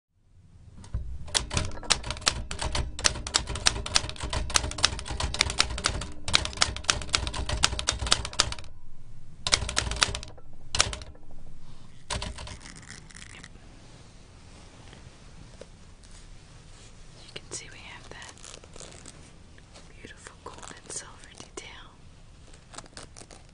You can see we have that beautiful gold and silver detail.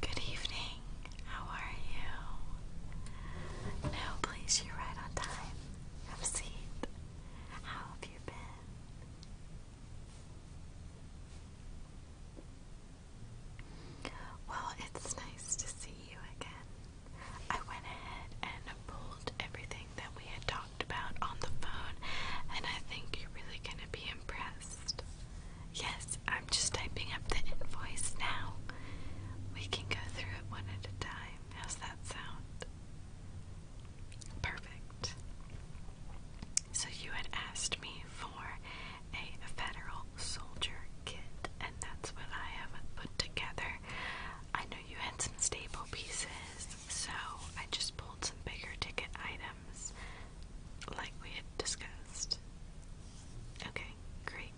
Good evening. How are you? No, please, you're right on time. Have a seat. How have you been? Well, it's nice to see you again. I went ahead and pulled everything that we had talked about on the phone, and I think you're really going to be impressed. Yes, I'm just typing up the invoice now. We can go through it one at a time. How's that sound? Perfect. So you had asked me for a federal soldier kit, and that's what I have put together. I know you had some staple pieces, so I just pulled some bigger ticket items like we had discussed. Okay, great.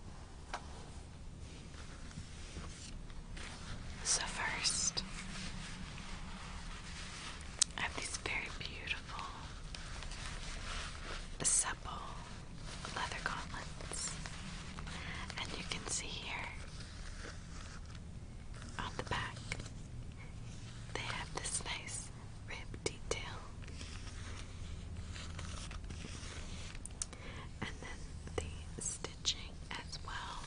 So, first, I have these very beautiful, supple leather gauntlets, and you can see here on the back they have this nice rib detail, and then the stitching as well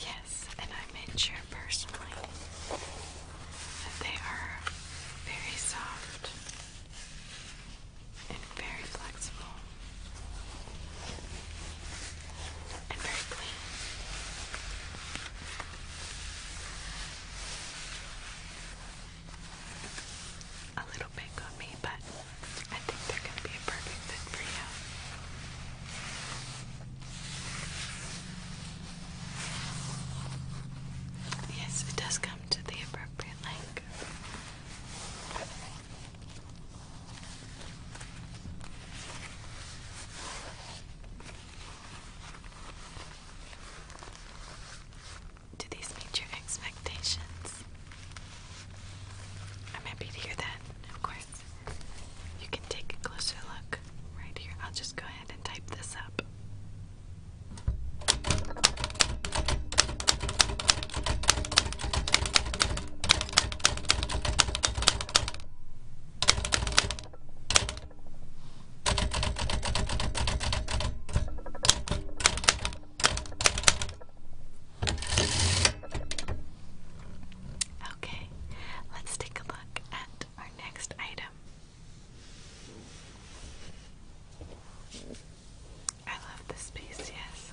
Yes, and I made sure personally that they are very soft and very flexible and very clean a little big on me, but I think they're going to be a perfect fit for you. Yes, it does come to the appropriate length. Do these meet your expectations? I'm happy to hear that, of course. You can take a closer look right here. I'll just go ahead and type this up. Okay, let's take a look at our next item. I love this piece, yes.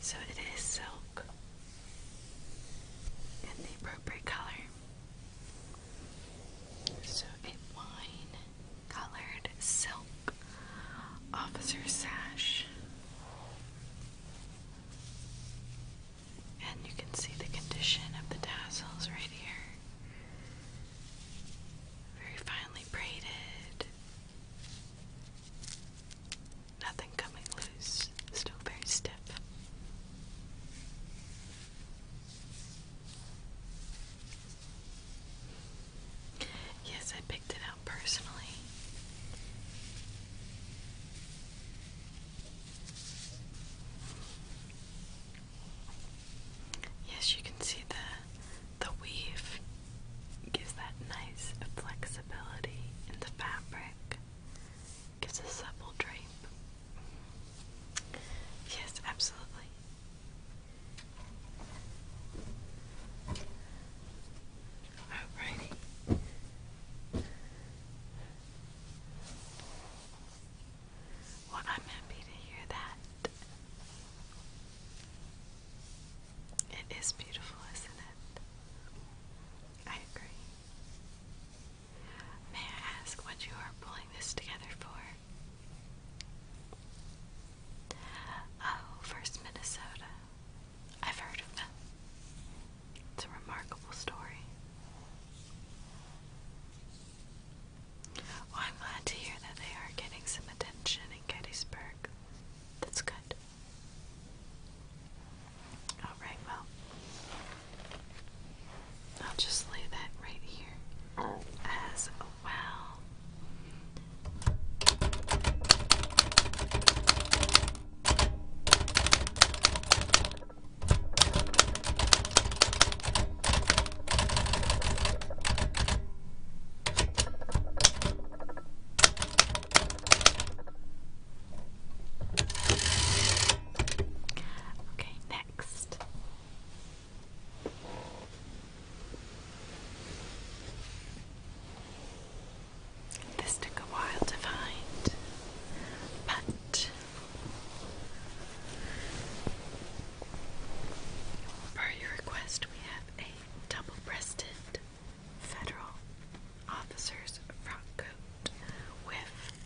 So it is silk in the appropriate color. So a wine colored silk officer sash. And you can see the condition of the tassels right here. Very finely braided. Nothing coming loose, still very stiff. Yes, I picked it out personally. Yes, you can see the the weave gives that nice flexibility in the fabric. It's a supple drape. Yes, absolutely. Alrighty. Well, I'm happy to hear that. It is beautiful, isn't it? I agree. May I ask what you are pulling this together for? Oh, First Minnesota. I've heard of them. It's a remarkable story. I'm glad to hear that they are getting some attention in Gettysburg. That's good. All right, well, I'll just lay that right here as well. Okay, next. This took a while to find, but per your request, we have a double breasted federal officer's frock coat with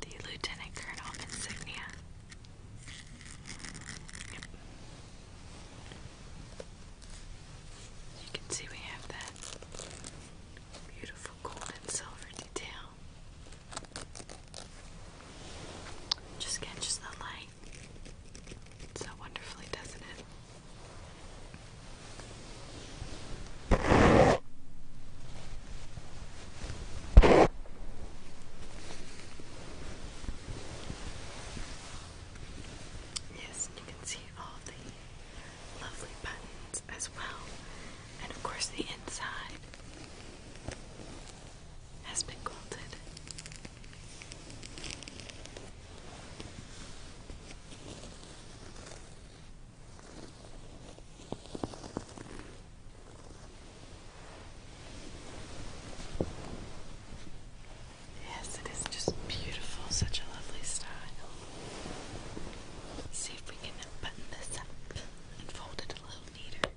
the lieutenant colonel insignia. Yep. you can see, we have that beautiful gold and silver detail. Just catches the light so wonderfully, doesn't it? Yes, you can see all the lovely buttons as well, and of course, the inside has been quilted. Yes, it is just beautiful, such a lovely style. see if we can button this up and fold it a little neater.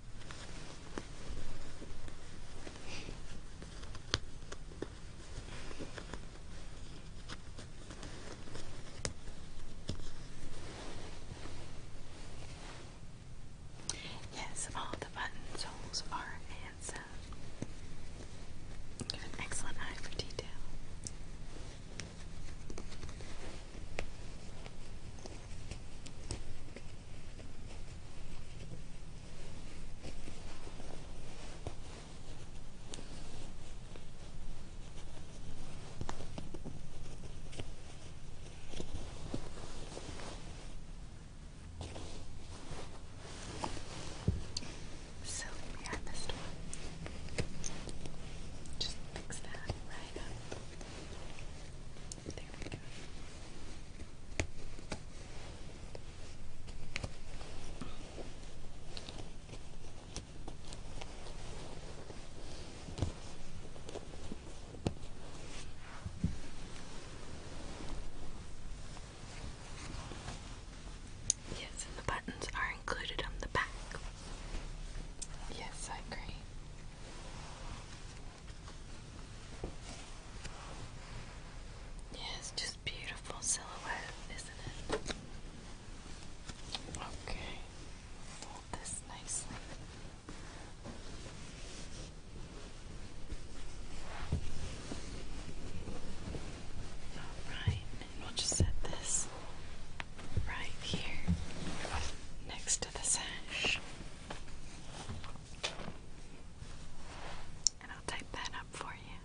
Yes, all the button soles are handsome. You have an excellent eye for detail. So we had this one. Just fix that right up. There we go. Yes, the buttons are included on the back. Yes, I agree. Yes, just beautiful silhouette, isn't it? Okay, fold this nicely. Alright, we'll just set this right here next to the sash. And I'll type that up for you.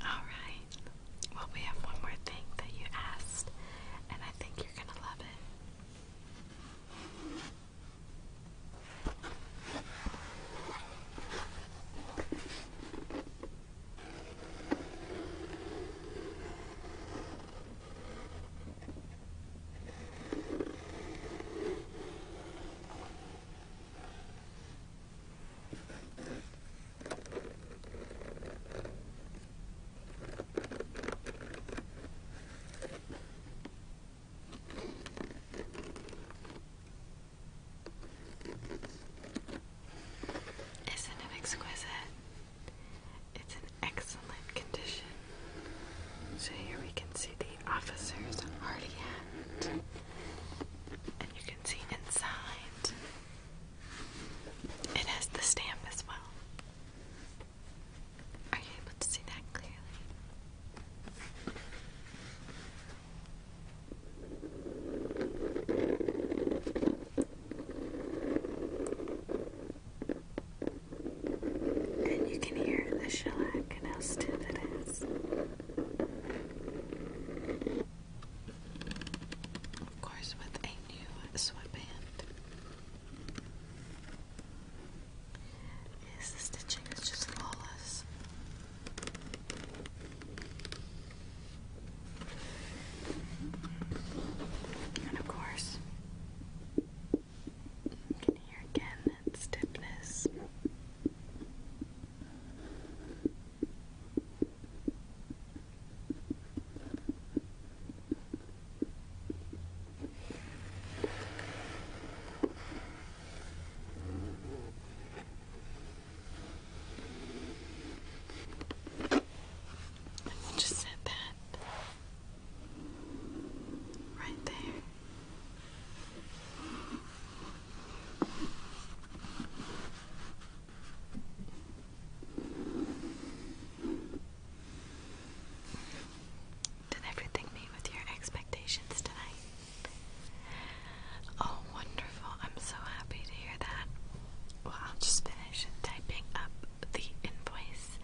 Alright. Well, we have one more thing that you asked, and I think you're gonna love it. Isn't it exquisite? It's in excellent condition. So here we can see the officer's hat. And you can see inside it has the stamp as well. Are you able to see that clearly? And you can hear the shellac and how stiff it is. Of course, with a new sweatband, is the stitching is just flawless. And of course, you can hear again its stiffness. And we just set that right there. Did everything meet with your expectations tonight? Oh, wonderful. I'm so happy to hear that. Well, I'll just finish typing up the invoice.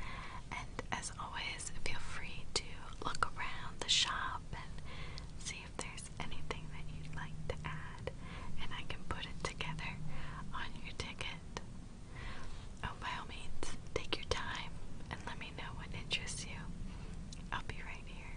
And as always, feel free to look around the shop and see if there's anything that you'd like to add. And I can put it together on your ticket. Oh, by all means, take your time and let me know what interests you. I'll be right here.